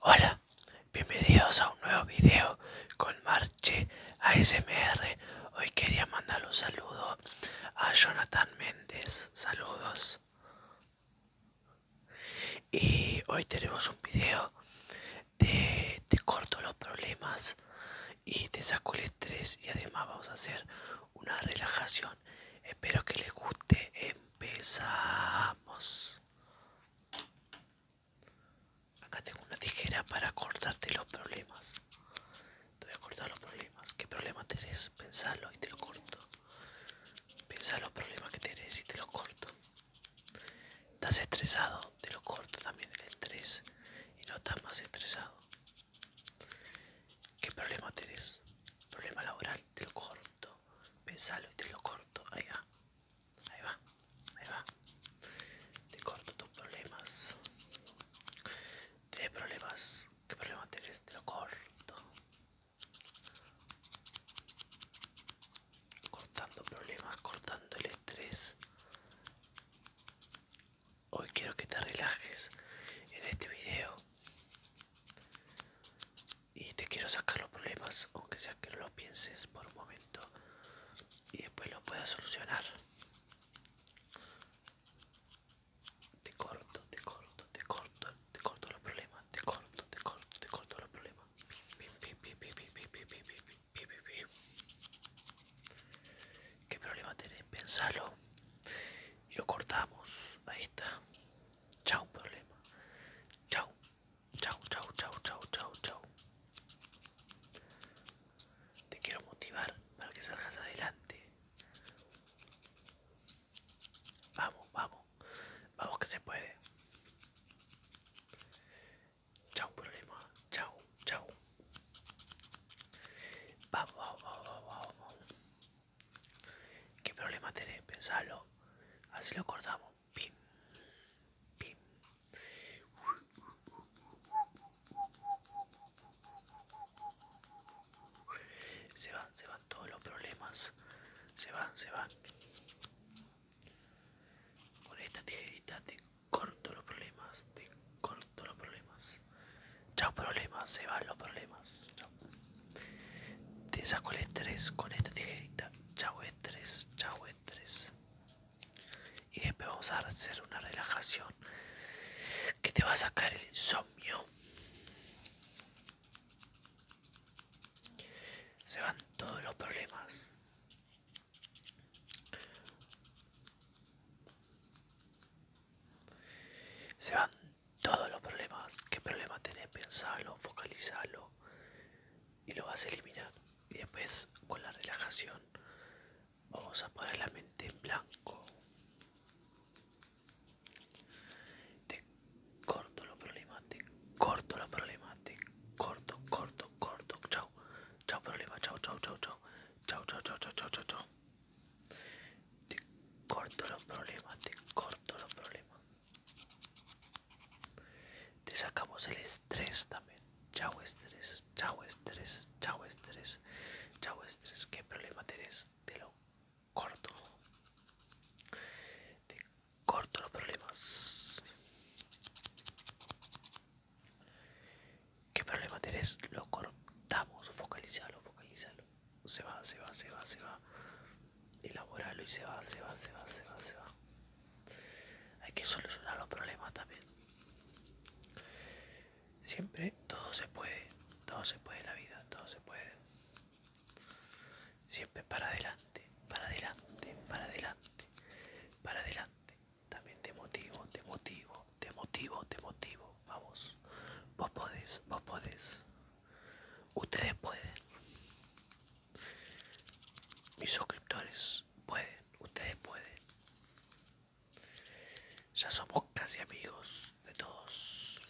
Hola, bienvenidos a un nuevo video con Marche ASMR. Hoy quería mandar un saludo a Jonathan Méndez. Saludos. Y hoy tenemos un video de te corto los problemas y te saco el estrés y además vamos a hacer una relajación. Espero que les guste. Empezamos. Acá tengo una tijera para cortarte los problemas. Te voy a cortar los problemas. ¿Qué problema tenés? Pensalo y te lo corto. Pensá los problemas que tenés y te lo corto. ¿Estás estresado? Te lo corto también el estrés y no estás más estresado. ¿Qué problema tenés? Problema laboral, te lo corto pensalo, y te lo corto, ahí va, ahí va, ahí va, te corto tus problemas, de problemas, qué problema tienes, te lo corto, cortando problemas, cortando el estrés, hoy quiero que te relajes en este video y te quiero sacar los problemas, aunque sea que no lo pienses por un momento y después lo puedas solucionar. Te corto, te corto, te corto, te corto los problemas, te corto, te corto, te corto los problemas. ¿Qué problema tenés? Pensalo y lo cortamos. Ahí está. Chao, problema. Chao. Chao, chao, chao, chao, chao, chau. Te quiero motivar para que salgas adelante. Vamos, vamos. Vamos que se puede. Chao, problema. Chao, chao. vamos, vamos, vamos, vamos. ¿Qué problema tenés? Pensalo. Así lo cortamos, Se van, se van todos los problemas. Se van, se van. Con esta tijerita te corto los problemas. Te corto los problemas ya Chao problemas, se van los problemas. Te saco el estrés con esta tijerita. Chao estrés, chao estrés. Y después vamos a hacer una relajación que te va a sacar el insomnio. Se van todos los problemas. Se van todos los problemas, qué problemas tenés, pensarlo focalizarlo y lo vas a eliminar. Y después con la relajación vamos a poner la mente en blanco. Te corto los problemas, te corto los problemas, te corto, corto, corto. Chao, chao problema, chao, chao, chao, chao, chao, chao, chao, chao, chao, chao. Te corto los problemas, te corto los problemas. Te sacamos el estrés también. Chao estrés, chao estrés, chao estrés, chao estrés. ¿Qué problema tienes, Te lo corto. Te corto los problemas. ¿Qué problema tenés? Lo cortamos, focalízalo, focalízalo, Se va, se va, se va, se va. Elaboralo y se va, se va, se va, se va, se va. Hay que solucionar los problemas también. Siempre todo se puede, todo se puede en la vida, todo se puede. Siempre para adelante, para adelante, para adelante, para adelante. También te motivo, te motivo, te motivo, te motivo, vamos. Vos podés, vos podés. Ustedes pueden. Mis suscriptores pueden, ustedes pueden. Ya somos casi amigos de todos.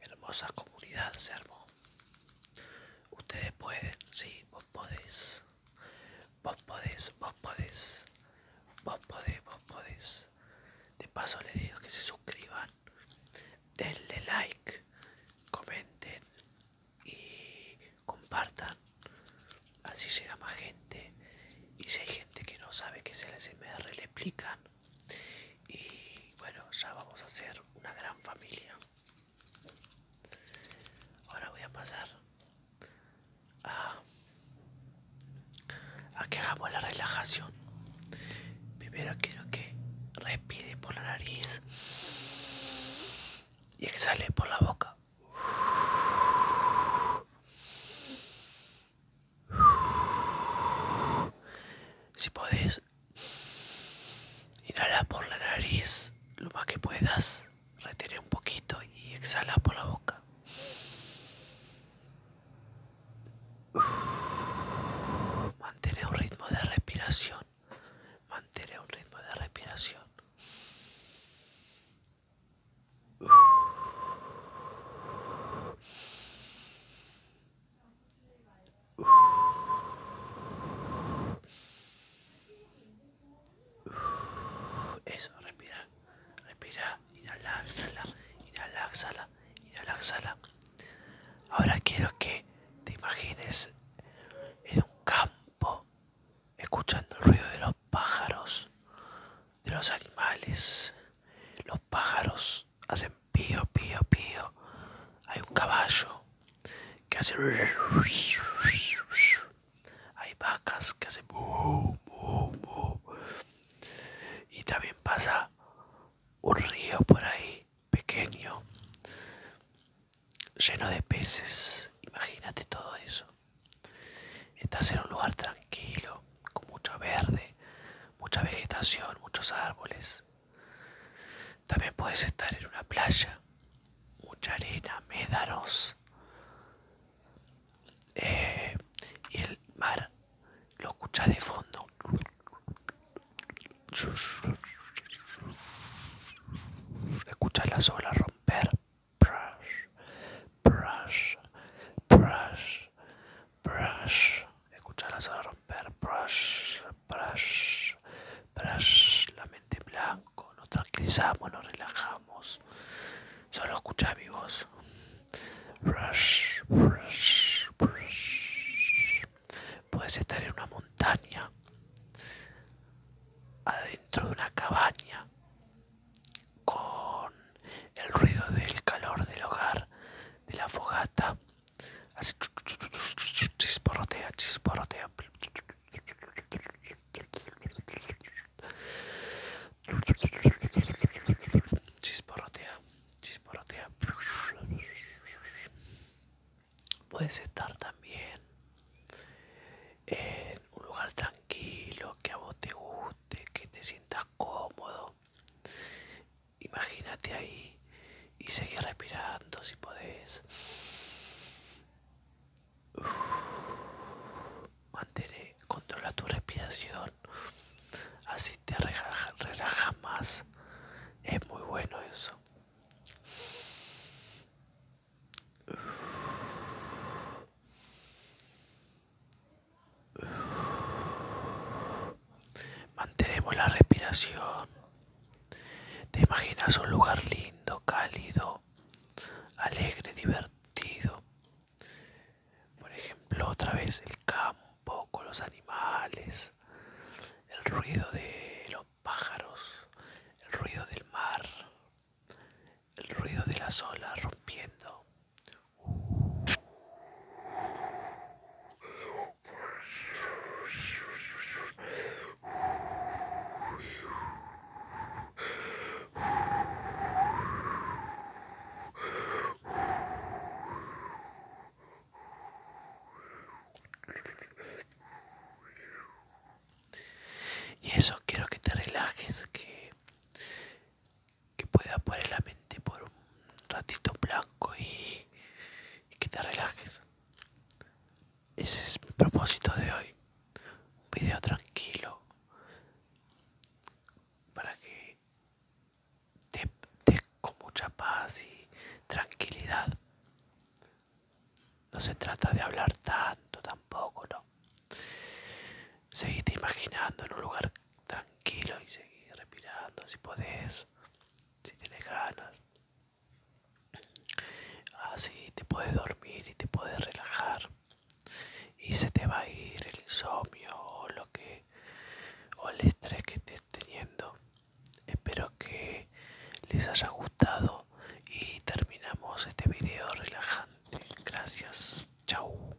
Hermosa comunidad se Ustedes pueden, sí, vos podés vos podés, vos podés, vos podés, vos podés. De paso les digo que se suscriban, denle like, comenten y compartan. Así llega más gente. Y si hay gente que no sabe qué es el SMR, le explican. Y bueno, ya vamos a hacer una gran familia. Ahora voy a pasar Ah. a, que hagamos la relajación. Primero quiero que respire por la nariz y exhale por la boca. Si puedes inhala por la nariz lo más que puedas Retire un poquito y exhala por la boca. Mantén un ritmo de respiración. Mantén un ritmo de respiración eso, respira, respira, inhala, exhala, inhala, Ahora quiero que te imagines en un campo escuchando el ruido de los pájaros, de los animales. Los pájaros hacen pío, pío, pío. Hay un caballo que hace hay vacas que hacen y también pasa un río por ahí pequeño lleno de peces imagínate todo eso estás en un lugar tranquilo con mucho verde mucha vegetación muchos árboles también puedes estar en una playa mucha arena, médanos. Eh, y el mar lo escucha de fondo. escucha la sola romper. Brush, brush, brush, brush. escucha la olas romper. Brush, brush, la mente en blanco, nos tranquilizamos, nos relajamos. Solo escucha mi voz. Puedes estar en una montaña, adentro de una cabaña, con el ruido del calor del hogar, de la fogata, Así chisporrotea Chisporrotea, chisporrotea Puedes estar también en un lugar tranquilo, que a vos te guste, que te sientas cómodo. Imagínate ahí y seguí respirando si podés. mantener controla tu respiración, así te relajas relaja más. Es muy bueno eso. Manteremos la respiración. Te imaginas un lugar lindo, cálido, alegre, divertido. Por ejemplo, otra vez el campo con los animales, el ruido de los pájaros, el ruido del mar, el ruido de las olas rompiendo. Y eso quiero que te relajes, que, que puedas poner la mente por un ratito blanco y, y que te relajes. Ese es mi propósito de hoy. Un video tranquilo para que te con mucha paz y tranquilidad. No se trata de hablar tanto tampoco, no. Seguite imaginando en un lugar tranquilo y seguir respirando si podés si tienes ganas así ah, te puedes dormir y te puedes relajar y se te va a ir el insomnio o lo que o el estrés que estés teniendo espero que les haya gustado y terminamos este video relajante gracias chao